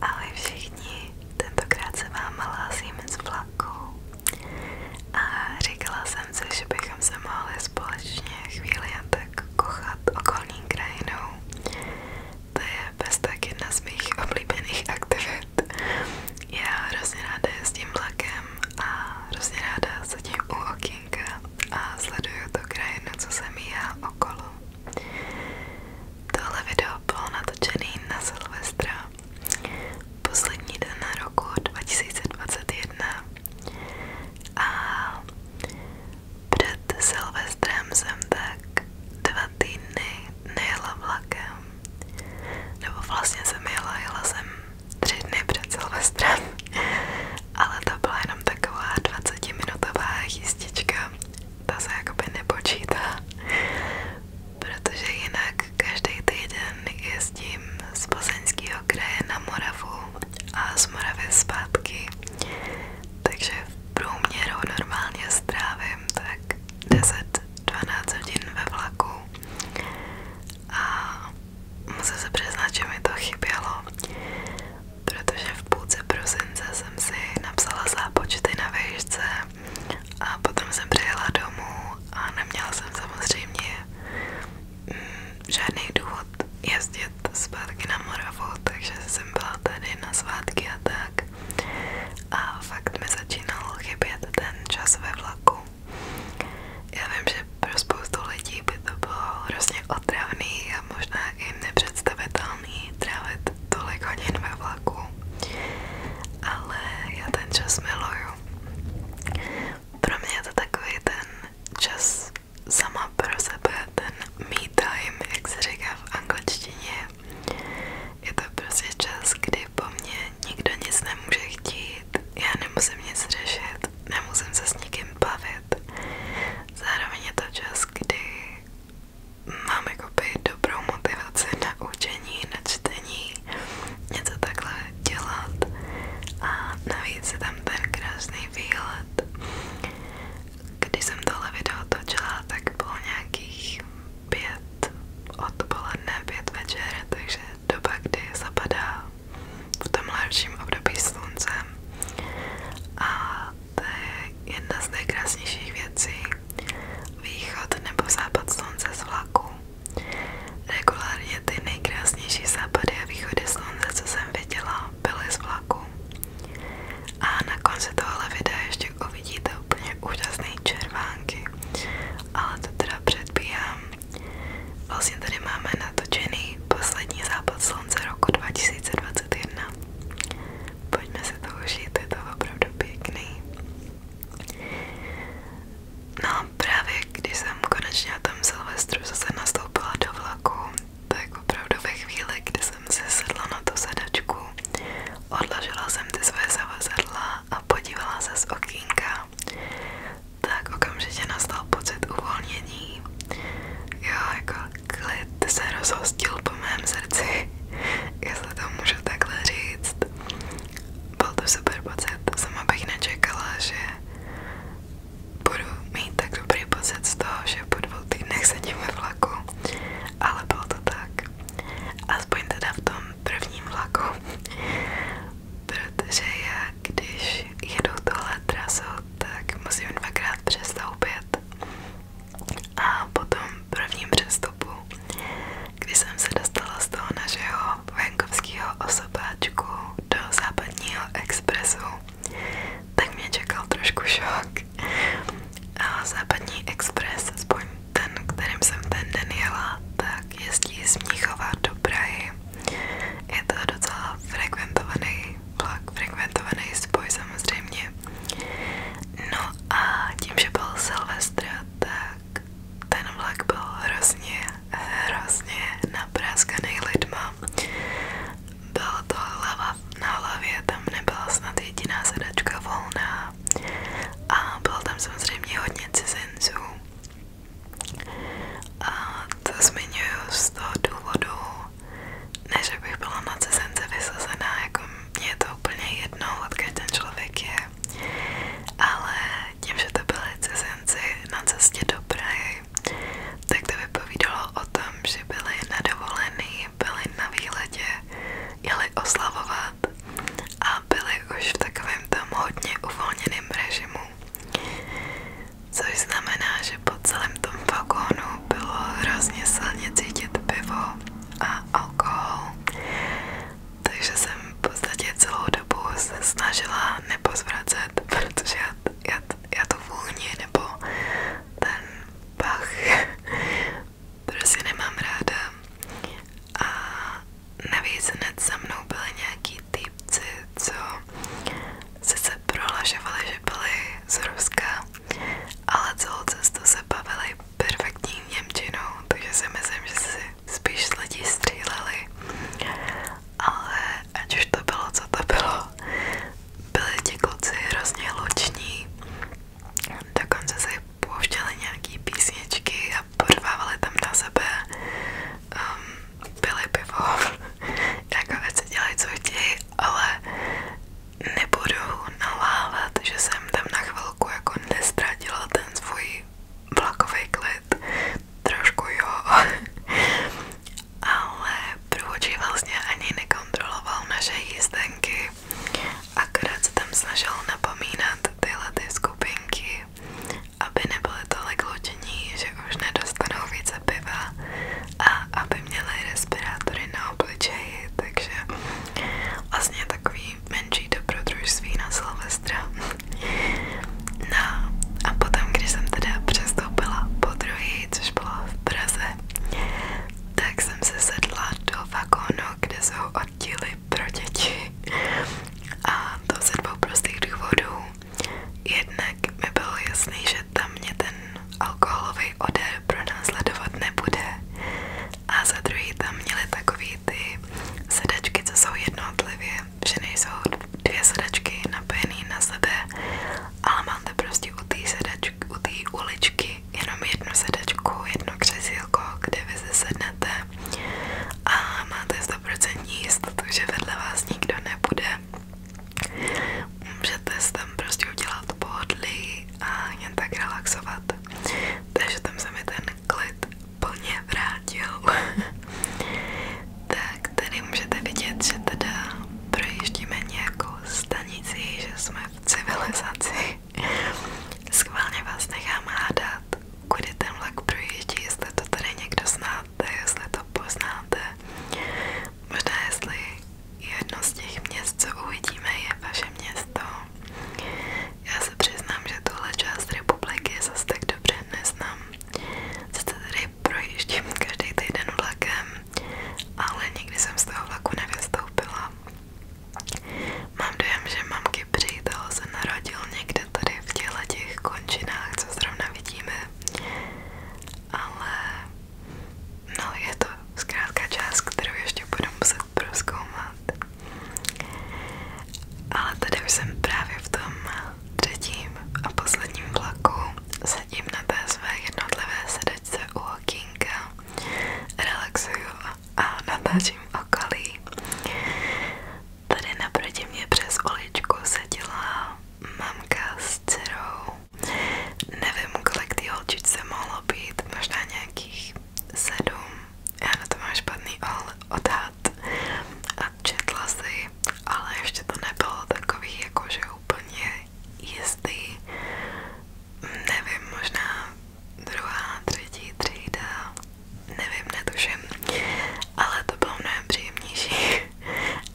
Ahoj všichni, tentokrát se vám hlásím z vlaku a říkala jsem si, že bychom se mohli společně chvíli jen tak kochat okolní krajinou. To je bez tak jedna z mých oblíbených aktivit. Já hrozně ráda jezdím vlakem a hrozně ráda sedím u okýnka a sleduju tu krajinu, co se míhá okolo. Tohle video bylo natočený na Silvestra poslední den na roku 2021 a před Silvestrem jsem tak dva týdny nejela vlakem nebo vlastně jsem jela, jela jsem tři dny před Silvestrem ale to byla jenom taková 20 minutová jízdička ta se jakoby nepočítá, protože jinak každý týden jezdím z Plzeňského kraje na Moravu a z Moravy zpátky, takže v průměru normálně strávím tak 10-12 hodin ve vlaku a musím se přiznat, že mi to chybělo protože v půlce prosince jsem si napsala zápočty na výšce a potom jsem přijela domů a neměla jsem samozřejmě mm, žádný důvod jezdit zpátky na Moravu, takže jsem byla tady na svátky a tak. A fakt mi začínal chybět ten čas ve vlaku. Já vím, že pro spoustu lidí by to bylo hrozně otravný a možná i nepředstavitelné normální trávit tolik hodin ve vlaku, ale já ten čas miluju. Pro mě je to takový ten čas sama pro sebe, ten me time, jak se říká v angličtině. Je to prostě čas, kdy po mně nikdo nic nemůže chtít, já nemusím nic řešit, nemusím se s nikým bavit. Zároveň je to čas, kdy mám jakoby dobrou motivaci na učení, na čtení, něco takhle dělat a navíc je tam ten krásný výhled. Když jsem tohle video točila, tak bylo nějakých pět odpoledne, pět večer, takže doba, kdy zapadá v tom lepším období sluncem a to je jedna z nejkrásnějších věcí. Východ nebo západ slunce z vlaku. Regulárně ty nejkrásnější západy a východy slunce, co jsem viděla, byly z vlaku. A na konci tohle videa ještě uvidíte úplně úžasné červánky. Ale to teda předbíhám. Vlastně tady máme natočený poslední západ slunce roku 2021. Pojďme se to užít, je to opravdu pěkný. No právě když jsem konečně na tom Silvestru zase nastoupila do vlaku, tak opravdu ve chvíli, kdy jsem si sedla na tu sedačku, odložila jsem ty zavazadla a podívala se z okýnka, tak okamžitě nastal pocit uvolnění. Jo, jako klid se rozhostil po mém srdci, jestli to můžu takhle říct. Byl to super pocit, sama bych nečekala, že budu mít tak dobrý pocit z toho, že po dvou týdnech sedím ve vlaku, ale bylo to tak. Aspoň teda v tom prvním vlaku, protože já, když jedu tohle trasou, tak musím dvakrát přestoupit. A potom prvním přestupu, když jsem se dostala z toho našeho venkovského osobáčku do západního expresu, tak mě čekal trošku šok. A západní expres, aspoň ten, kterým jsem ten den jela, tak jezdí z Mnichova do Prahy. Je to docela frekventovaný vlak, frekventovaný spoj samozřejmě. No a tím, že byl Silvestr, tak ten vlak byl hrozně, hrozně napráskaný lidma. Byla to hlava na hlavě, tam nebyla snad jediná sedačka volná a bylo tam samozřejmě hodně cizinců. A to zmiňuju z toho důvodu, ne, že bych byla na cizence vysazená, jako mě je to úplně jedno, odkud ten člověk je, ale tím, že to byly cizinci na cestě do Prahy, tak to vypovídalo o tom, že byli nadovolený, byli na výletě, jeli oslavovat a byli už v takovém tam hodně uvolněném režimu. Což znamená, že po celém tom vagónu bylo hrozně silně cítit pivo a alkohol. Takže jsem v podstatě celou dobu se snažila nepozvracet, protože já, já, já to vůni nebo ten pach prostě nemám ráda. A navíc hned za mnou byly nějaký týpci co sice prohlašovali, že byli z Ruska, ale celou cestu se bavili perfektní Němčinou, takže si myslím, že si spíš z lidí stříleli. Ale ať už to bylo, co to bylo, byli ti kluci hrozně luční, dokonce se pouštěli nějaký písničky a podvávali tam na sebe um, pili pivo, jako ať se dělají, co chtějí, ale nebudu nalávat, že jsem tam na chvilku jako nestratila ten svůj vlakový klid, trošku jo, ale průvodčí vlastně ani nekontroloval naše jízdenky, akorát se tam snažil napomínat tyhle ty skupinky, aby nebyly tolik pojištění, že už nedostanou více piva a aby měli respirátory na obličeji, takže vlastně takový menší dobrodružství na Silvestra. No a potom, když jsem teda přestoupila po druhý, což bylo v Praze, tak jsem se sedla do vagónu, kde jsou oddíly pro děti a to ze dvou prostých důvodů. Jednak mi bylo jasné, že tam mě ten alkoholový odér pronásledovat nebude. A za tam měly takový ty sedačky, co jsou jednotlivě, že nejsou dvě sedačky napojené na sebe, ale máte prostě u té u uličky jenom jednu sedačku, jedno křesílko, kde vy se sednete a máte 100% jistotu, že vedle vás nikdo nebude můžete se tam prostě udělat pohodlí a jen tak relaxovat. Takže tam se mi ten klid plně vrátil. tak tady můžete vidět, že teda projíždíme nějakou stanici, že jsme v civilizaci. Schválně vás nechám hádat, kudy ten vlak projíždí, jestli to tady někdo zná, poznáte, to poznáte. Možná jestli jedno z těch měst, uvidíme, je vaše město. Já se přiznám, že tuhle část republiky zase tak neznám. Sice tady projíždím každý týden vlakem, ale nikdy jsem z toho vlaku nevystoupila. Mám dojem, že mamky přítel se narodil někde tady v těle těch končinách, co zrovna vidíme, ale no je to zkrátka část, kterou ještě budu muset proskoumat. Ale tady už jsem právě v tom třetím a posledním vlaku, sedím na té své jednotlivé sedačce u okýnka, relaxuju a natáčím okolí. Tady naproti mě přes uličku seděla mamka s dcerou. Nevím, kolik ty holčičce mohlo být, možná nějakých sedm. Já na to mám špatný odhad a četla si, ale ještě to nebylo takový jakože úplně jistý. Nevím, možná druhá, třetí třída, nevím, netuším, ale to bylo mnohem příjemnější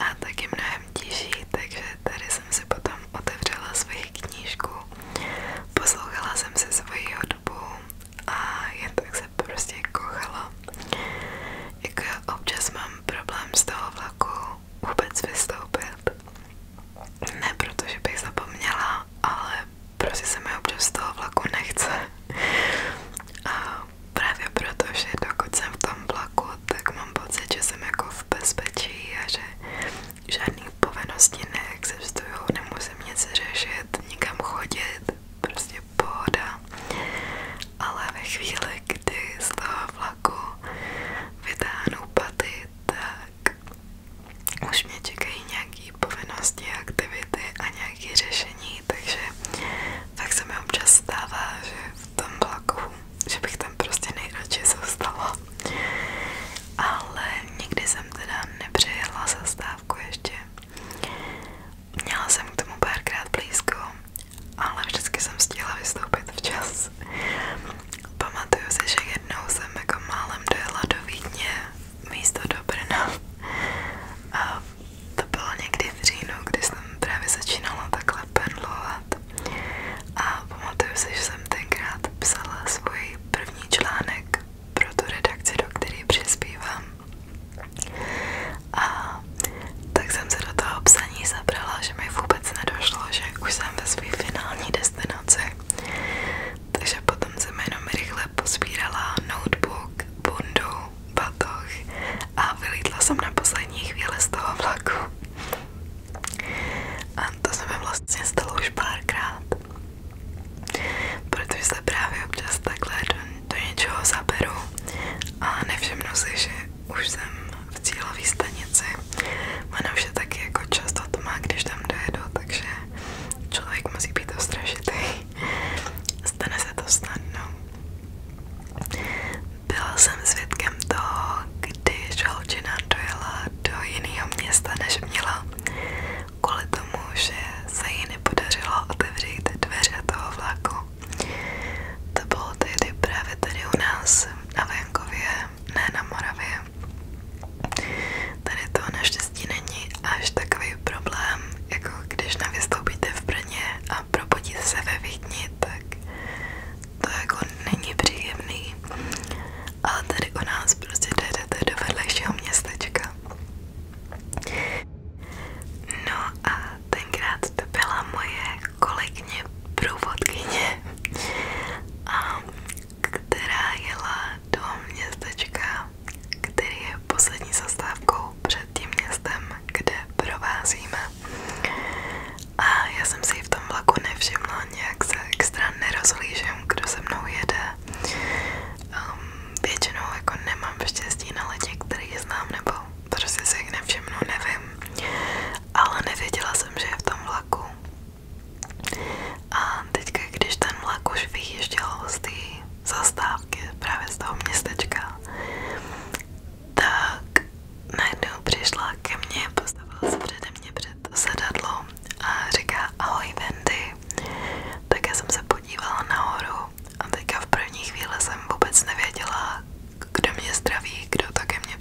a taky mnohem těžší, takže tady jsem si potom otevřela svoji knížku, poslouchala jsem si svoji hudbu a jen tak se prostě kochala. Jako občas mám problém z toho vlaku vůbec vystoupit. Ne protože bych zapomněla, ale prostě se mi občas z toho vlaku nechce. A právě proto, dokud jsem v tom vlaku, tak mám pocit, že jsem jako v bezpečí a že žádný povinnosti neexistují, nemusím nic řešit, nikam chodit, prostě pohoda. Ale ve chvíli, kdy z toho vlaku vytáhnu paty, tak už mě čekají nějaké povinnosti, aktivity a nějaké řešení jiný, takže tak se mi občas stává, že v tom vlaku, že bych tam prostě nejradši zůstala. Ale nikdy jsem teda nepřejela zastávku ještě. Měla jsem k tomu párkrát blízko, ale vždycky jsem stihla vystoupit včas. Pamatuju si, že jednou jsem jako málem dojela do Vídně místo do Brna a to bylo někdy v říjnu, kdy jsem právě začínala takhle perlovat a pamatuju si, že jsem tenkrát psala svůj první článek pro tu redakci, do které přispívám. A tak jsem se do toho psaní zabrala, že mi vůbec nedošlo, že už jsem ve své finální destinaci. Takže potom jsem jenom rychle pospírala notebook, bundu batoh a vylítla jsem na poslední chvíli z toho vlaku. A to se mi vlastně stalo už párkrát. Protože se právě občas takhle do, do něčeho zaberu a nevšimnu si, že už jsem v cílové stanici. Ono už je taky jako často to má, když tam dojedu, takže člověk musí být ostražitý. Stane se to snadno. Byla jsem svědkem toho, kdy žalčina dojela do jiného města, než měla, kvůli tomu, že se jí nepodařilo otevřít dveře toho vlaku. To bylo tehdy právě tady u nás, na venkově, ne na Moravě. Tady to naštěstí není až takový problém, jako když nevystoupíte v Brně a probudíte se ve Vídni, tak to jako není příjemný. Ale tady u nás prostě jdete do vedlejšího městečka. No a tenkrát to byla moje kolegyně průvodkyně, a která jela do městečka který je poslední zastávkou před tím městem, kde provázíme. A já jsem si v tom vlaku nevšimla, nějak se extra nerozhlížím, kdo se mnou jede. Um, většinou jako nemám štěstí na lidi, který znám, nebo prostě si jich nevšimnu, nevím. Ale nevěděla jsem, že je v tom vlaku. A teďka, když ten vlak už vyjížděl z té zastávky právě z toho městečka, tak najednou přišla ke mně, postavila se přede mě před sedadlo a říká ahoj Wendy. Tak jsem se podívala nahoru a teďka v první chvíli jsem vůbec nevěděla, kdo mě zdraví, kdo to ke mně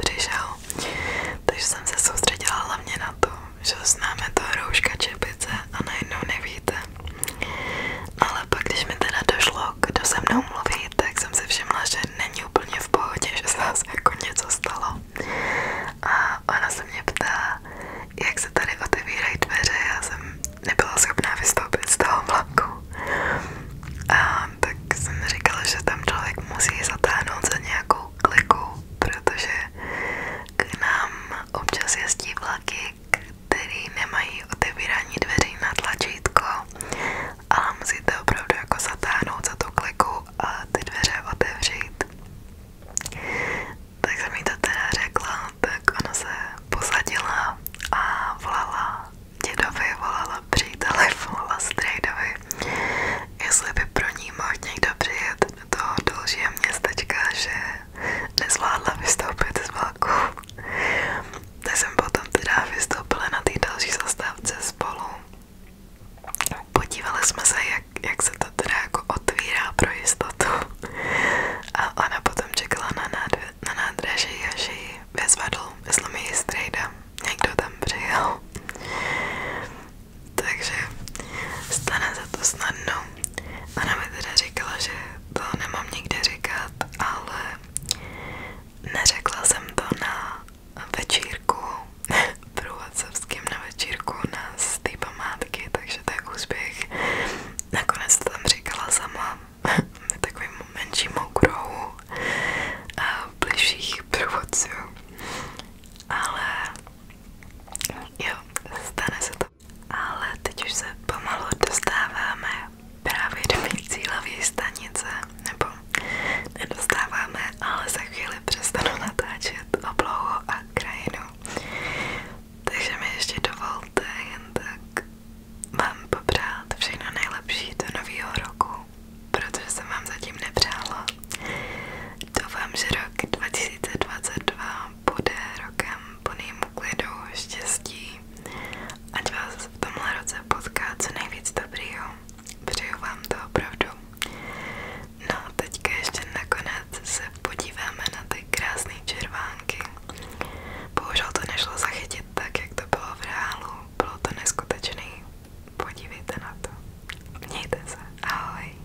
Takže jsem se soustředila hlavně na to, že známe to rouška čepice a najednou nevíte, dobře. Ale pak, když mi teda došlo, kdo se mnou mluví, tak jsem si všimla, že není úplně v pohodě, že se zase jako stalo. A ona se mě ptá, jak se tady otevírají dveře, já jsem nebyla schopná vystoupit z toho vlaku. A tak jsem říkala, že tam člověk musí zatáhnout za nějakou kliku, protože k nám občas jezdí vlaky který nemají otevírání dveří na tlačítko, ale musíte opravdu jako zatáhnout za tu kliku a ty dveře otevřít. Tak mi to teda řekla, tak ona se posadila a volala dědovi, volala příteli, volala strejdovi, jestli by pro ní mohl někdo přijet do dalšího městečka, že nezvládla vystoupit z vlaku. Teď jsem potom teda vystoupila na té další zastávce spolu. Podívali jsme se, jak, jak se to teda jako otvírá pro jistotu. A ona potom čekala na, nádve, na nádraží, až ji vyzvedl, myslím její strejda. Někdo tam přijel. Takže stane se to snadno. Ona mi teda říkala, že to nemám nikde říkat, ale neřekla jsem to na večírku, průvodcovským na večírku na z té památky, takže to je úspěch. Nakonec to tam říkala sama, takovým menším okruhu eh, bližších průvodců. Ale jo, stane se ale teď už se pomalu dostáváme právě do mých cílové stanice, nebo nedostáváme, ale za chvíli přestanu natáčet oblohu a krajinu. Takže mi ještě dovolte jen tak vám popřát všechno nejlepší do nového roku, protože jsem vám zatím nepřála. Doufám, že rok 2022 bude rokem plným klidu, štěstí. Ať vás v tomhle roce potká co nejvíc dobrýho. Přeju vám to opravdu. No teďka ještě nakonec se podíváme na ty krásné červánky. Bohužel to nešlo zachytit tak, jak to bylo v reálu. Bylo to neskutečný. Podívejte na to. Mějte se. Ahoj.